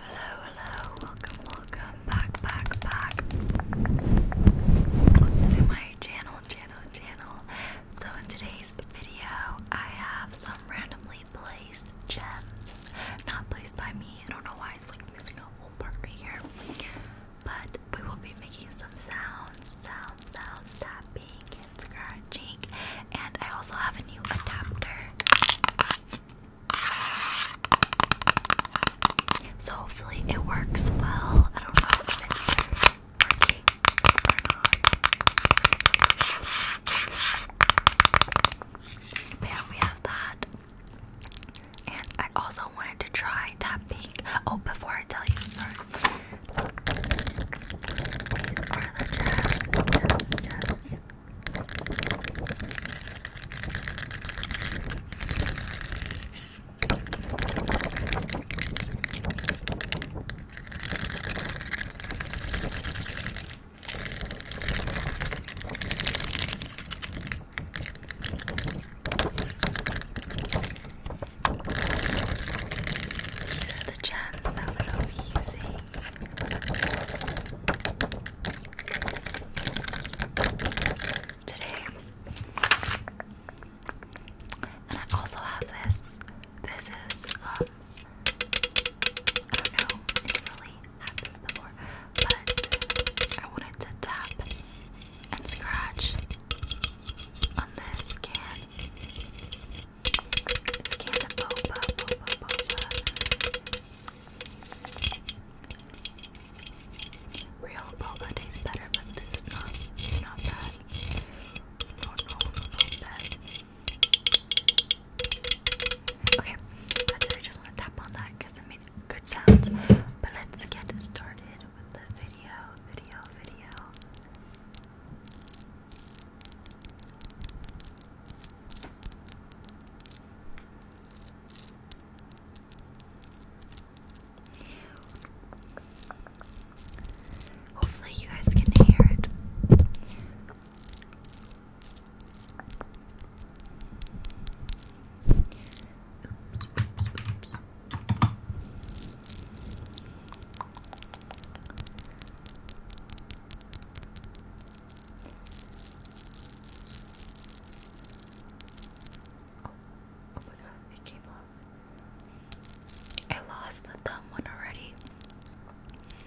Hello, hello, welcome, welcome back, back, back to my channel, channel, channel. So, in today's video, I have some randomly placed gems. Not placed by me, I don't know why it's like missing a whole part right here. But we will be making some sounds, sounds, sounds, tapping and scratching. And I also have a new adapter. So hopefully it works well. I don't know if it's working yeah, we have that. And I also wanted to try tapping. Oh, before I tell you, sorry. These are the gems that we'll be using today. And I also have this. This is, um, don't know if I really had this before, but I wanted to tap and scratch on this can it's Canna Boba, Boba, Real boba tastes better, but this is not, not bad. Oh no, not bad. Okay, I just want to tap on that because it made good sounds. But let's get started with the video, video, video. Hopefully, you guys can hear it. Oh, oh, my god, it came off. I lost the thumb one already.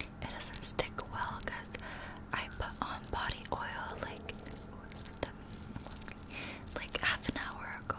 It doesn't stick well because I put on body oil like, like half an hour ago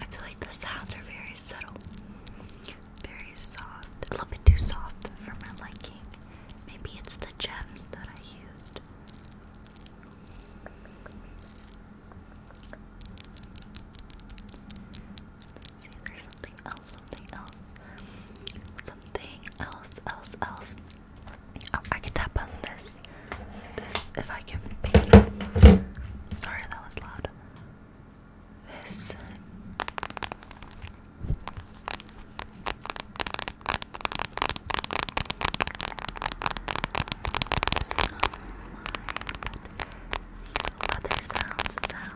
I feel like the sounds are very subtle, very soft, a little bit too soft for my liking. Maybe it's the gems that I used see if something else, something else, something else, else, else. Oh, I can tap on this. This, if I can pick it up. Sorry, that was loud. This. these leather sounds, sounds,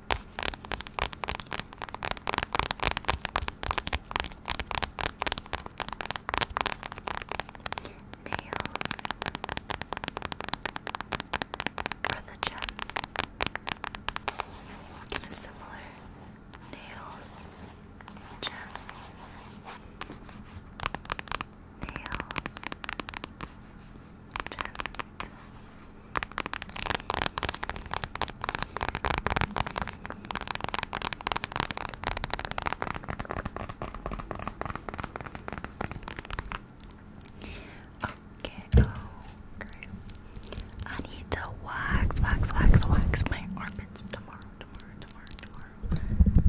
Nails for the gents. Kind of similar. Nails, gem, nails, gems. Okay, oh, I need to wax, wax, wax, wax my armpits tomorrow, tomorrow, tomorrow, tomorrow.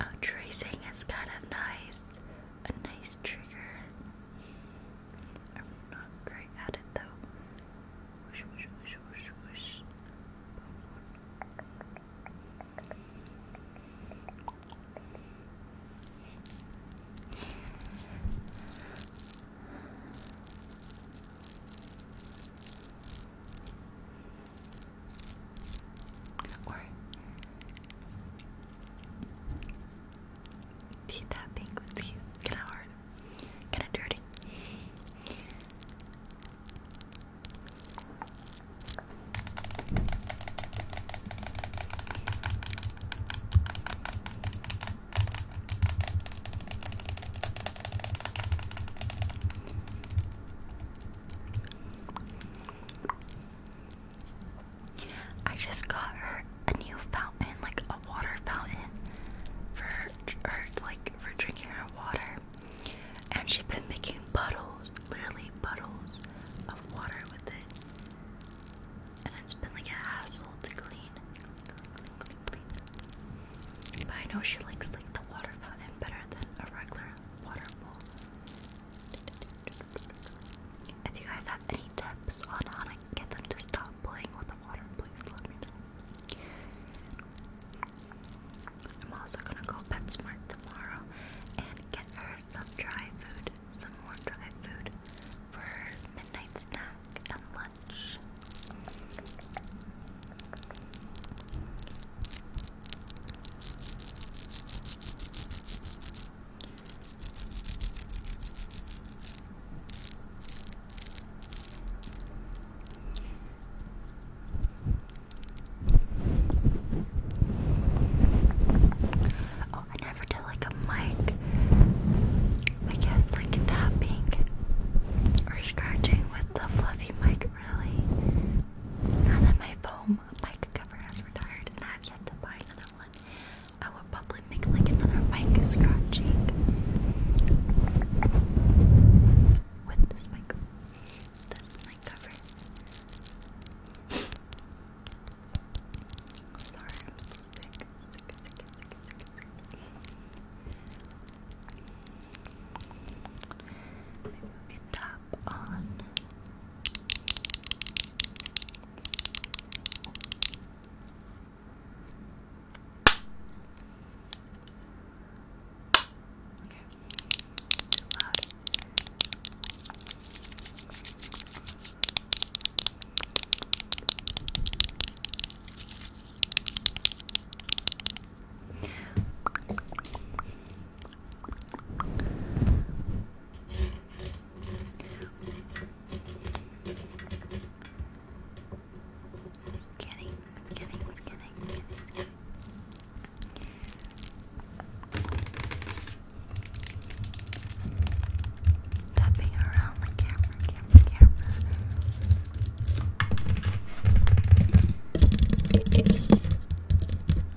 Oh, tracing is kind of nice. A nice trigger. I'm not great at it though. Whoosh, whoosh, whoosh, tapping with these flowers Kinda dirty. I just got her a new fountain, like a water fountain, for her, like for drinking her water. And she's been making puddles, literally puddles of water with it. And it's been like a hassle to clean. But I know she likes like the water fountain better than a regular water bowl. If you guys have any tips on how I get them to stop playing with the water, please let me know. I'm also gonna go PetSmart tomorrow and get her some dry food, some more dry food for her midnight snack and lunch. Oh, I never did like a mic. I guess like tapping or scratching with the fluffy mic really. Now that my foam mic cover has retired and I've yet to buy another one. I will probably make like another mic scratching with this mic. That's my cover. Sorry, I'm so sick. Sick, sick, sick, sick, sick, on. Too loud. Kidding, kidding, kidding, kidding. Tapping around the camera, camera, camera.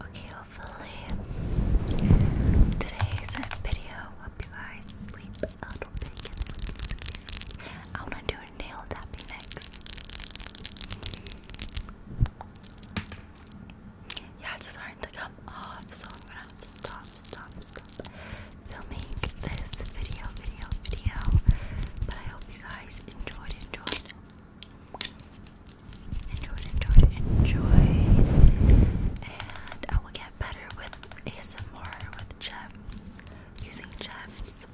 Okay, hopefully today's video help you guys sleep a little bit. I wanna do yeah, it's starting to come off, so I'm gonna stop, stop, stop filming this video, video, video. But I hope you guys enjoyed, enjoyed, enjoyed, enjoyed, enjoyed. And I will get better with ASMR with Jem using gems.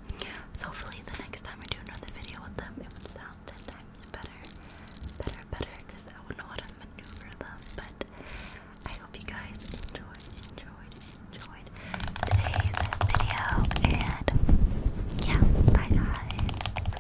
So hopefully the next time I do another video with them, it would sound ten times better, better, better, because I would know how to maneuver them. But I hope you guys enjoyed, enjoyed, enjoyed today's video, and yeah, bye guys.